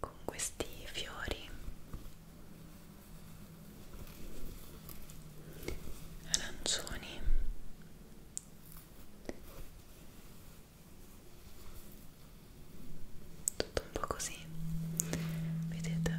con questi fiori arancioni tutto un po' così vedete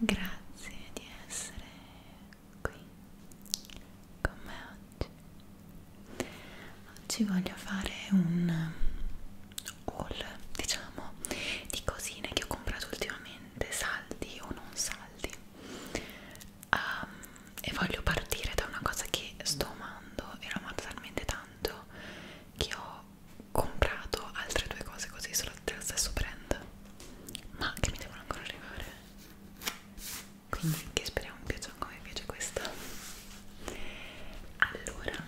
Grazie di essere qui con me oggi. Oggi voglio fare un haul, diciamo, di cosine che ho comprato ultimamente, saldi o non saldi. Um, e voglio partire da una cosa che sto amando e l'ho amata talmente tanto che ho comprato altre due cose così sono dello stesso brand ma che mi devono ancora arrivare quindi che speriamo piaccia come piace questa allora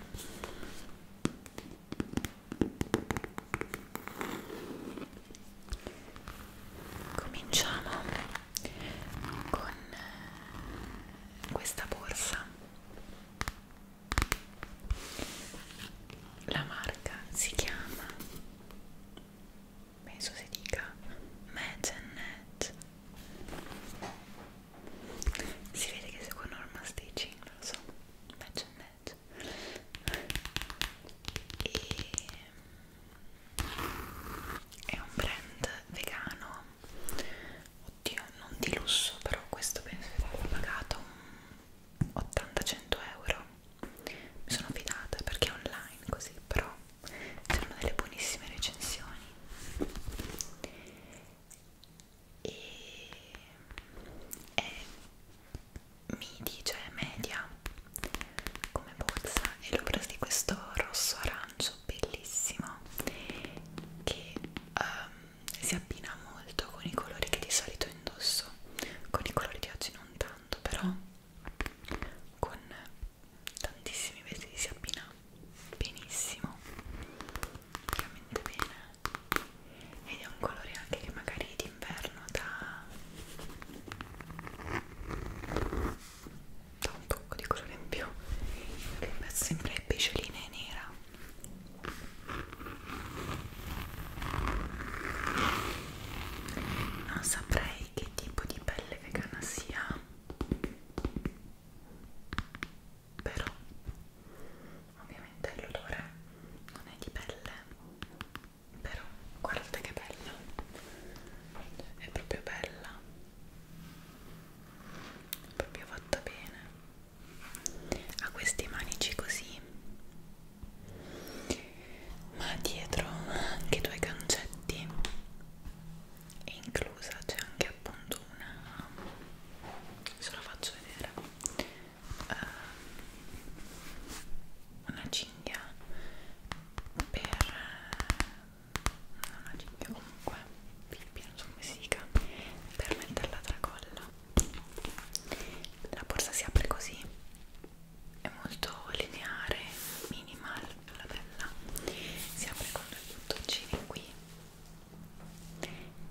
cominciamo con eh, questa borsa la marca si chiama penso si dica Magenet si vede che secondo Norma Stitching non lo so Magenet e è un brand vegano oddio non di lusso però questo penso che avrà pagato 80-100 euro mi sono fidata perché è online così però c'erano delle buonissime recensioni e è midi cioè media come borsa e l'ho presa di questo rosso arancio bellissimo che um, si abbina molto con i colori che di solito indosso con i colori di oggi non tanto però con tantissimi vestiti si abbina benissimo veramente bene ed è un colore anche che magari d'inverno dà, dà un tocco di colore in più che mezzo sempre picioline nera non saprei che tipo di pelle vegana sia però ovviamente l'odore non è di pelle però guardate che bella è proprio bella è proprio fatta bene ha questi manici così ma dietro anche due cancetti e inclusa c'è anche appunto una se la faccio vedere uh, una cinghia per una cinghia comunque non so come si dica per mettere la tracolla la borsa si apre così è molto lineare minimal la bella si apre con due bottoncini qui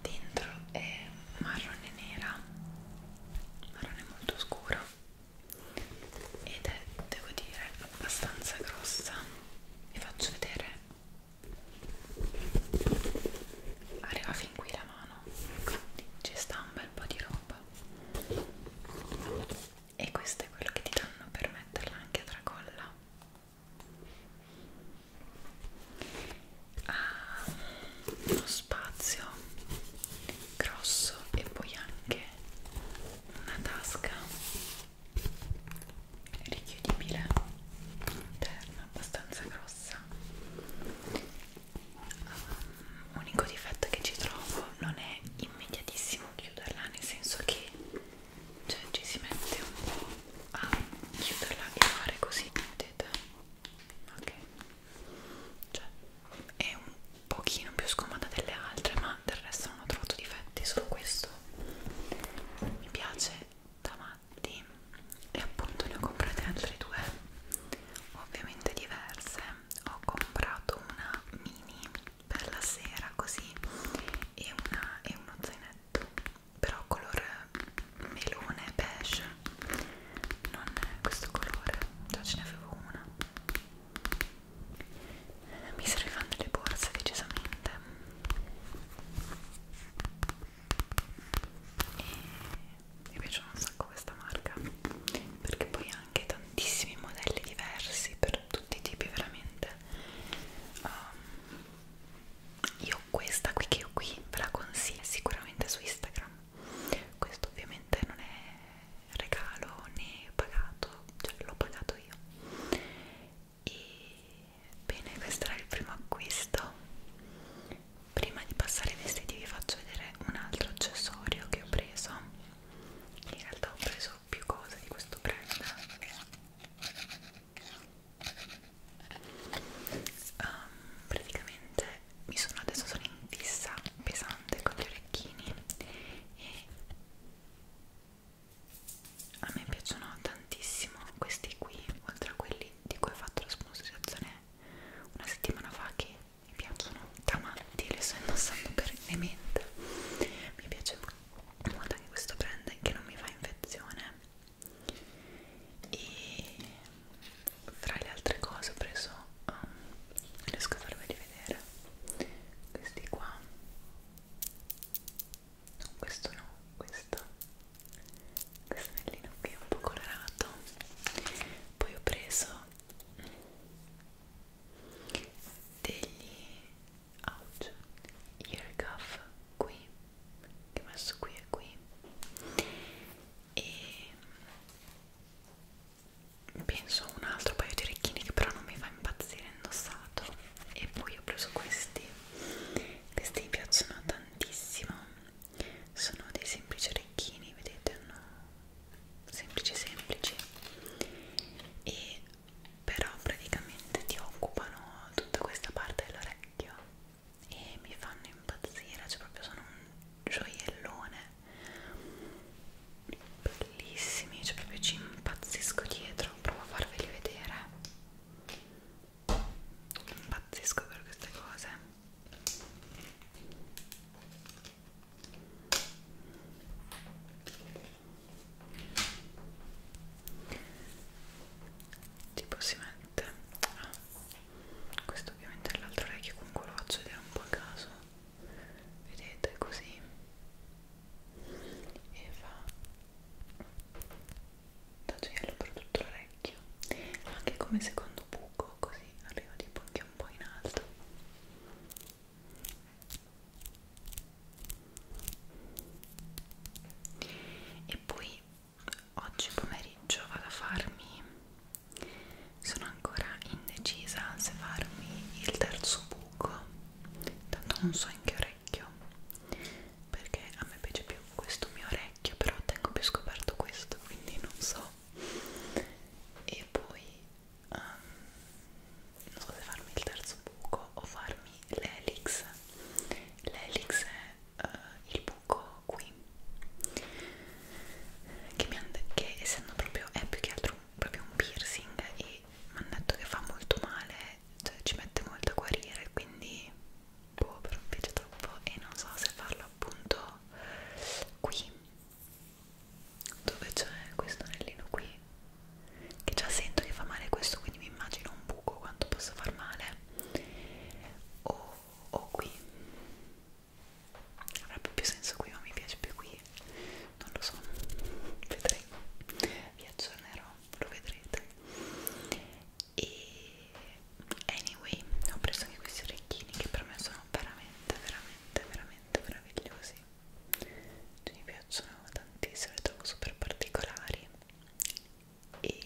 dentro è marrone nera marrone molto scuro ed è devo dire abbastanza grossa vi faccio vedere arriva fin qui la mano quindi ci sta un bel po' di roba e questo è quello che ti danno per metterla anche a tracolla ha ah, uno spazio grosso e poi anche una tasca richiudibile interna, abbastanza grossa. L'unico um, difetto che ci trovo non è immediatissimo chiuderla, nel senso che cioè, ci si mette un po' a chiuderla e fare così, vedete? Ok, cioè è un pochino più scomoda delle altre, ma del resto non ho trovato difetti, solo questo mi piace da avanti e appunto ne ho comprate altre due ovviamente diverse ho comprato una mini per la sera così e, una, e uno zainetto però color melone beige non è questo colore già ce ne avevo una mi servivano delle borse decisamente e mi piace un sacco questa marca perché poi ha anche tantissimi modelli diversi per tutti i tipi veramente um, io questa qui che ho qui ve la consiglio sicuramente su Instagram questo ovviamente non è regalo né pagato cioè l'ho pagato io e bene questo era il primo acquisto prima di passare ai vestiti vi faccio vedere un altro accessorio che ho preso in realtà ho preso più cose di questo brand um, praticamente mi sono adesso sono in fissa pesante con gli orecchini e a me piacciono tantissimo questi qui oltre a quelli di cui ho fatto la sponsorizzazione una settimana fa che mi piacciono davanti le sto indossando perennemente mi piace molto anche questo brand che non mi fa infezione e tra le altre cose ho preso um, riesco a farveli vedere questi qua no, questo no, questo questo anellino qui è un po' colorato poi ho preso degli ouch ear cuff qui che ho messo qui e qui e penso un altro paio di orecchini che però non mi fa impazzire indossato e poi ho preso questi questi mi piacciono tantissimo sono dei semplici orecchini vedete hanno semplici semplici e però praticamente ti occupano tutta questa parte dell'orecchio e mi fanno impazzire cioè proprio sono un gioiellone bellissimi cioè proprio ci impazzisco dietro provo a farveli vedere Pazzesco per queste cose. Tipo si mette. Ah. Questo ovviamente è l'altro orecchio, comunque lo faccio vedere un po' a caso. Vedete così. E fa tagliello per tutto l'orecchio anche come secondo buco così arriva tipo anche un po' in alto e poi oggi pomeriggio vado a farmi sono ancora indecisa se farmi il terzo buco tanto non so in che ore orecchio perché a me piace più questo mio orecchio però tengo più scoperto questo quindi non so e poi um, non so se farmi il terzo buco o farmi l'elix l'elix è uh, il buco qui che, mi che essendo proprio è più che altro un, proprio un piercing e poi mi hanno detto che fa molto male, cioè ci mette molto a guarire, quindi boh, però mi piace troppo e non so se farlo appunto qui dove c'è questo anellino qui che già sento che fa male questo quindi mi immagino un buco quanto possa far male o, o qui avrebbe più senso qui ma mi piace più qui non lo so vedremo vi aggiornerò lo vedrete e anyway ho preso anche questi orecchini che per me sono veramente veramente veramente meravigliosi cioè, mi piacciono tantissimo li trovo super particolari e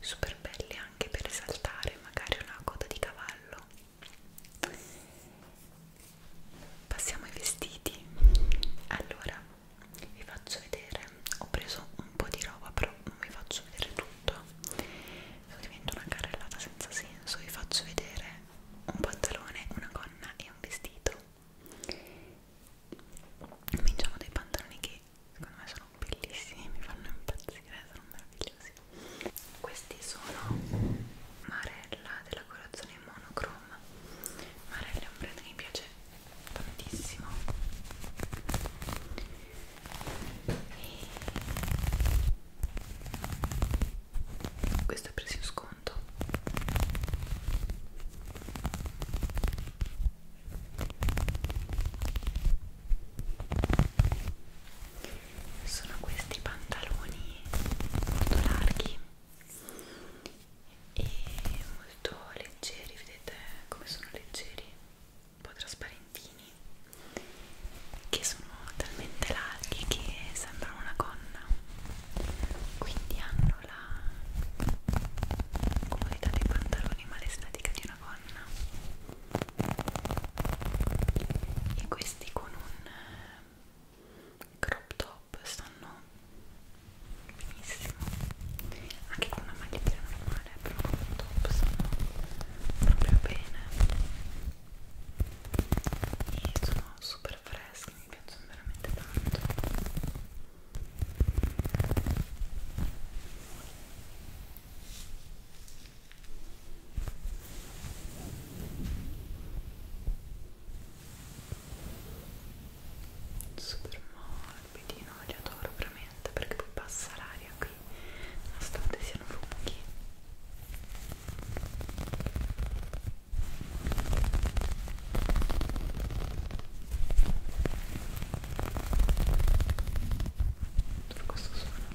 super belli anche per risaltare magari una coda di cavallo passiamo ai vestiti allora vi faccio vedere ho preso un po' di roba però non vi faccio vedere tutto diventa una carrellata senza senso vi faccio vedere un pantalone, una gonna e un vestito cominciamo dai pantaloni che secondo me sono bellissimi mi fanno impazzire, sono meravigliosi questi sono Marella della colorazione monocroma Tom Marelli è un brand che mi piace tantissimo e questo è preso in sconto sono questi pantaloni molto larghi e molto leggeri, vedete come sono leggeri, un po' trasparentini, che sono talmente larghi che sembrano una gonna, quindi hanno la comodità dei pantaloni ma l'estetica di una gonna. E questi con un crop top stanno benissimo anche con una maglietta normale però crop top stanno proprio bene e sono super freschi mi piacciono veramente tanto super morbidino li adoro veramente perché poi passa l'aria qui nonostante siano lunghi questo suono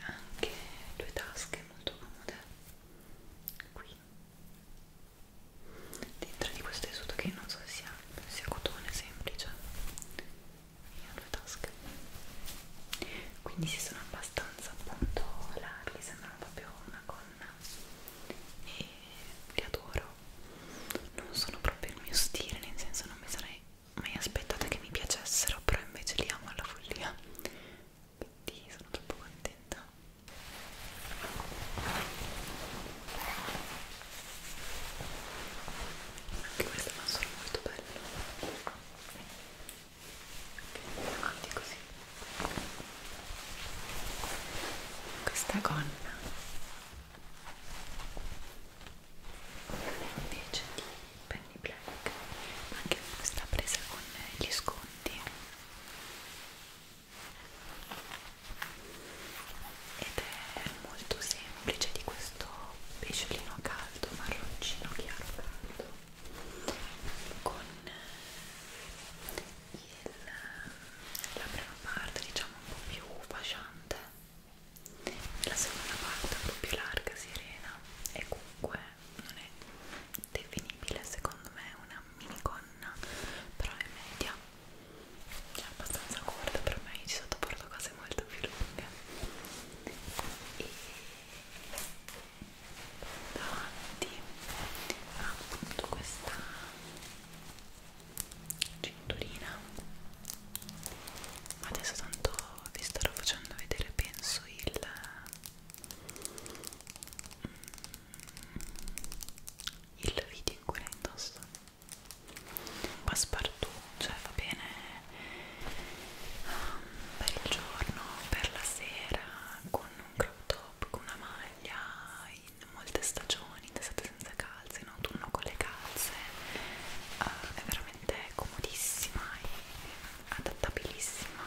anche due tasche molto comode qui dentro di questo tessuto che non so se sia, sia cotone semplice e ha due tasche quindi si sono abbastanza appunto larghi sembrano proprio una gonna e li adoro non sono proprio il mio stile nel senso non mi sarei mai aspettata che mi piacessero però invece li amo alla follia quindi sono troppo contenta anche questo è un suono molto bello avanti così questa gonna invece di Penny Black anche questa presa con gli sconti ed è molto semplice di questo pesciolino caldo marroncino chiaro caldo con il, la prima parte diciamo un po' più fasciante la seconda parte un po' più larga, sirena e comunque non è definibile secondo me una una minigonna però è media è abbastanza corta per me ci sottoporto cose molto più lunghe e davanti ha appunto questa cinturina adesso tanto vi starò facendo vedere penso il mm, il video in cui la indosso passepartout, cioè va bene um, per il giorno, per la sera con un crop top, con una maglia in molte stagioni, in estate senza calze, in autunno con le calze uh, è veramente comodissima e adattabilissima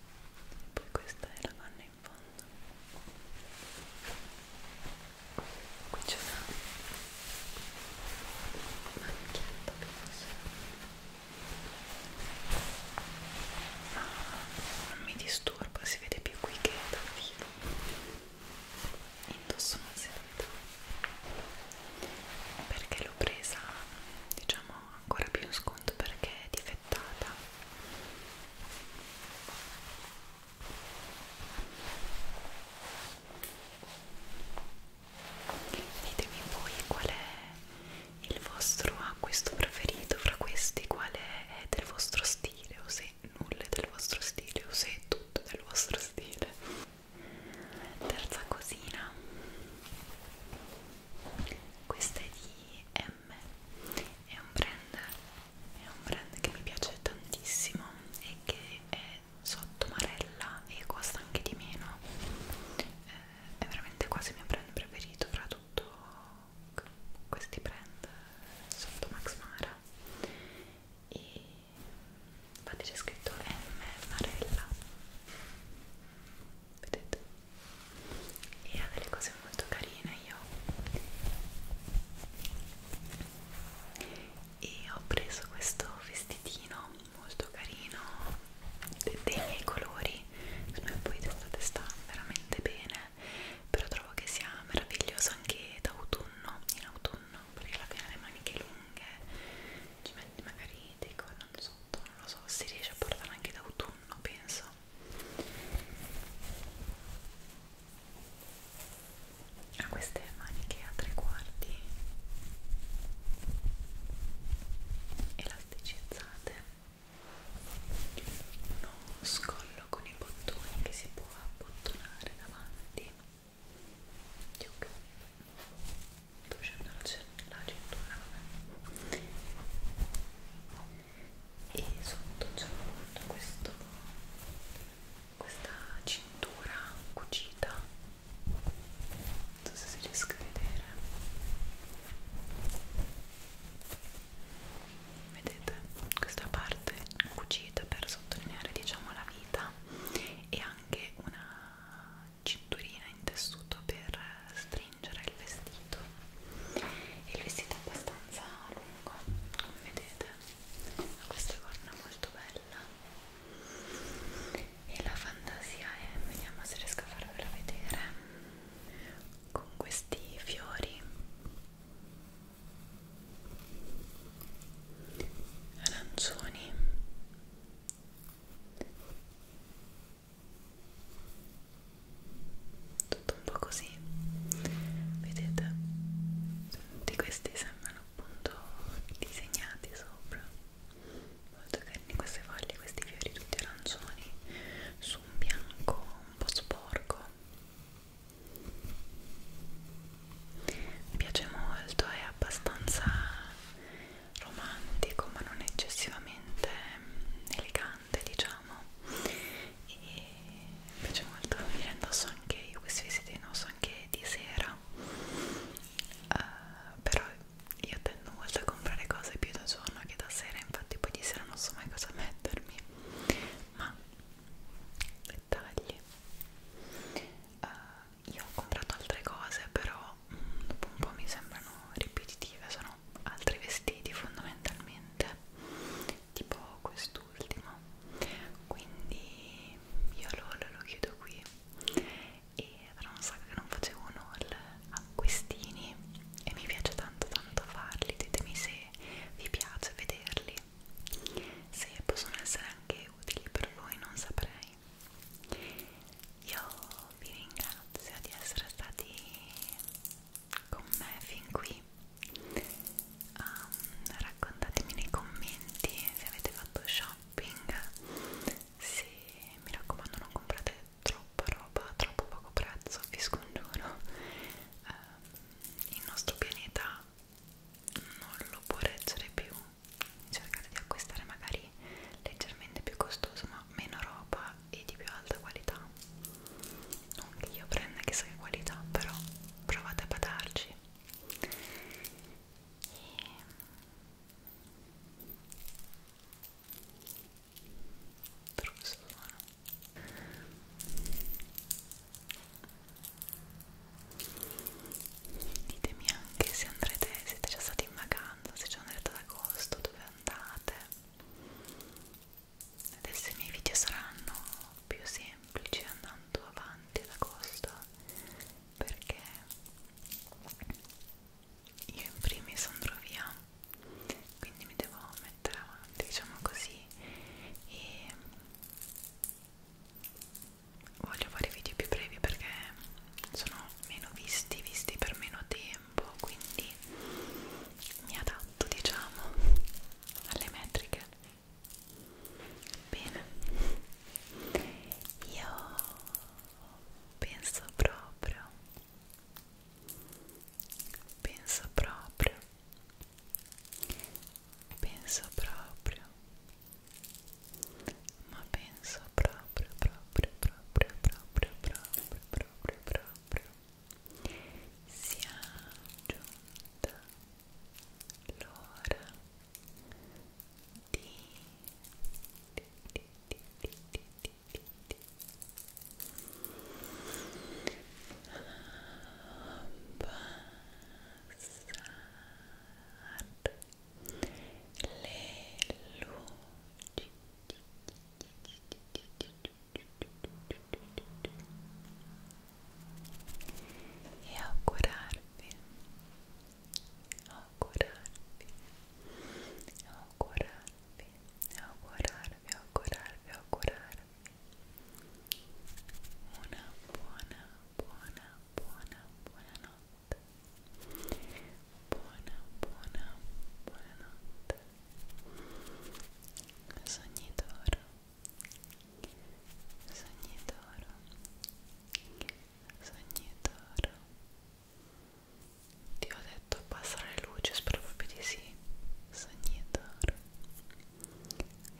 e poi questa è la canna in fondo qui c'è una macchietta penso ah, non mi disturba si vede più qui che dal vivo indosso una seduta perché l'ho presa diciamo ancora più in sconto perché è difettata ditemi voi qual è il vostro acquisto preferito fra questi qual è del vostro stile o se nulla è del vostro stile o se è tutto del vostro stile terza cosina questa è di M è un brand è un brand che mi piace tantissimo e che è sotto Marella e costa anche di meno eh, è veramente quasi il mio brand preferito fra tutto questi brand sotto Max Mara e infatti c'è scritto M Marella vedete? E ha delle cose molto carine io e ho preso questo vestitino molto carino de dei miei colori secondo me poi d'estate sta veramente bene però trovo che sia meraviglioso anche d'autunno in autunno perché alla fine le maniche lunghe ci metti magari dei collanti sotto non lo so, si riesce a portare anche d'autunno, penso. Ha ah, queste maniche a tre quarti elasticizzate, uno scollo con i bottoni che si può abbottonare davanti. Giuca sto uscendo la, la cintura vabbè. e sotto c'è questo questa cintura cucita non so se riesco a vedere vedete questa parte cucita per sottolineare diciamo la vita e anche una cinturina in tessuto per stringere il vestito e il vestito è abbastanza lungo come vedete ha questa corna molto bella e la fantasia è vediamo se riesco a farvela vedere con questi fiori arancioni tutto un po' così vedete tutti questi sembrano appunto disegnati sopra molto carini queste foglie questi fiori tutti arancioni su un bianco un po' sporco mi piace molto è abbastanza romantico ma non eccessivamente elegante diciamo e mi piace molto mi indosso anche io questi vestiti indosso anche di sera uh, però io tendo molto a comprare cose più da giorno che da sera infatti poi di sera non so mai cosa mettermi ma dettagli uh, io ho comprato altre cose però mh, mm, dopo un po' mi sembrano ripetitive sono altri vestiti fondamentalmente tipo quest'ultimo quindi io lo, lo, lo chiudo qui e era un sacco che non facevo un haul a questini e mi piace tanto tanto farli ditemi se vi piace vederli se possono essere anche utili per voi non saprei io vi ringrazio di essere stati con me fin qui um, raccontatemi nei commenti se avete fatto shopping se mi raccomando non comprate troppa roba a troppo poco prezzo vi scongiuro um, il nostro pianeta non lo può reggere più cercare di acquistare magari leggermente più costoso ma meno roba e di più alta qualità non che io prenda chissà che qualità però provate a badarci e... Ehm, però questo suono ditemi anche se andrete, siete già stati in vacanza, se ci andrete ad agosto, dove andate adesso i miei video saranno più semplici andando avanti ad agosto perché io in primis andrò via quindi mi devo mettere avanti diciamo così e voglio fare video più brevi perché sono meno visti, visti per meno tempo, quindi mi adatto, diciamo, alle metriche. Bene, io penso proprio, penso proprio, penso proprio ma penso proprio proprio proprio proprio proprio proprio proprio sia giunta l'ora di, di, di, di, di, di, di, di. Passare le luci e augurarvi augurarvi augurarvi augurarvi augurarvi augurarvi una buona buona buona buona notte buona buona buonanotte sogni d'oro sogni d'oro sogni d'oro ti ho detto abbassare le luci spero proprio di sì sogni d'oro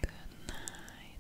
good night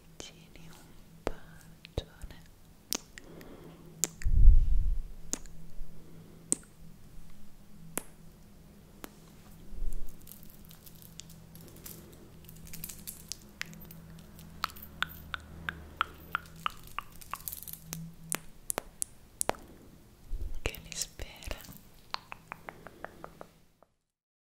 vicini un bacione che li spera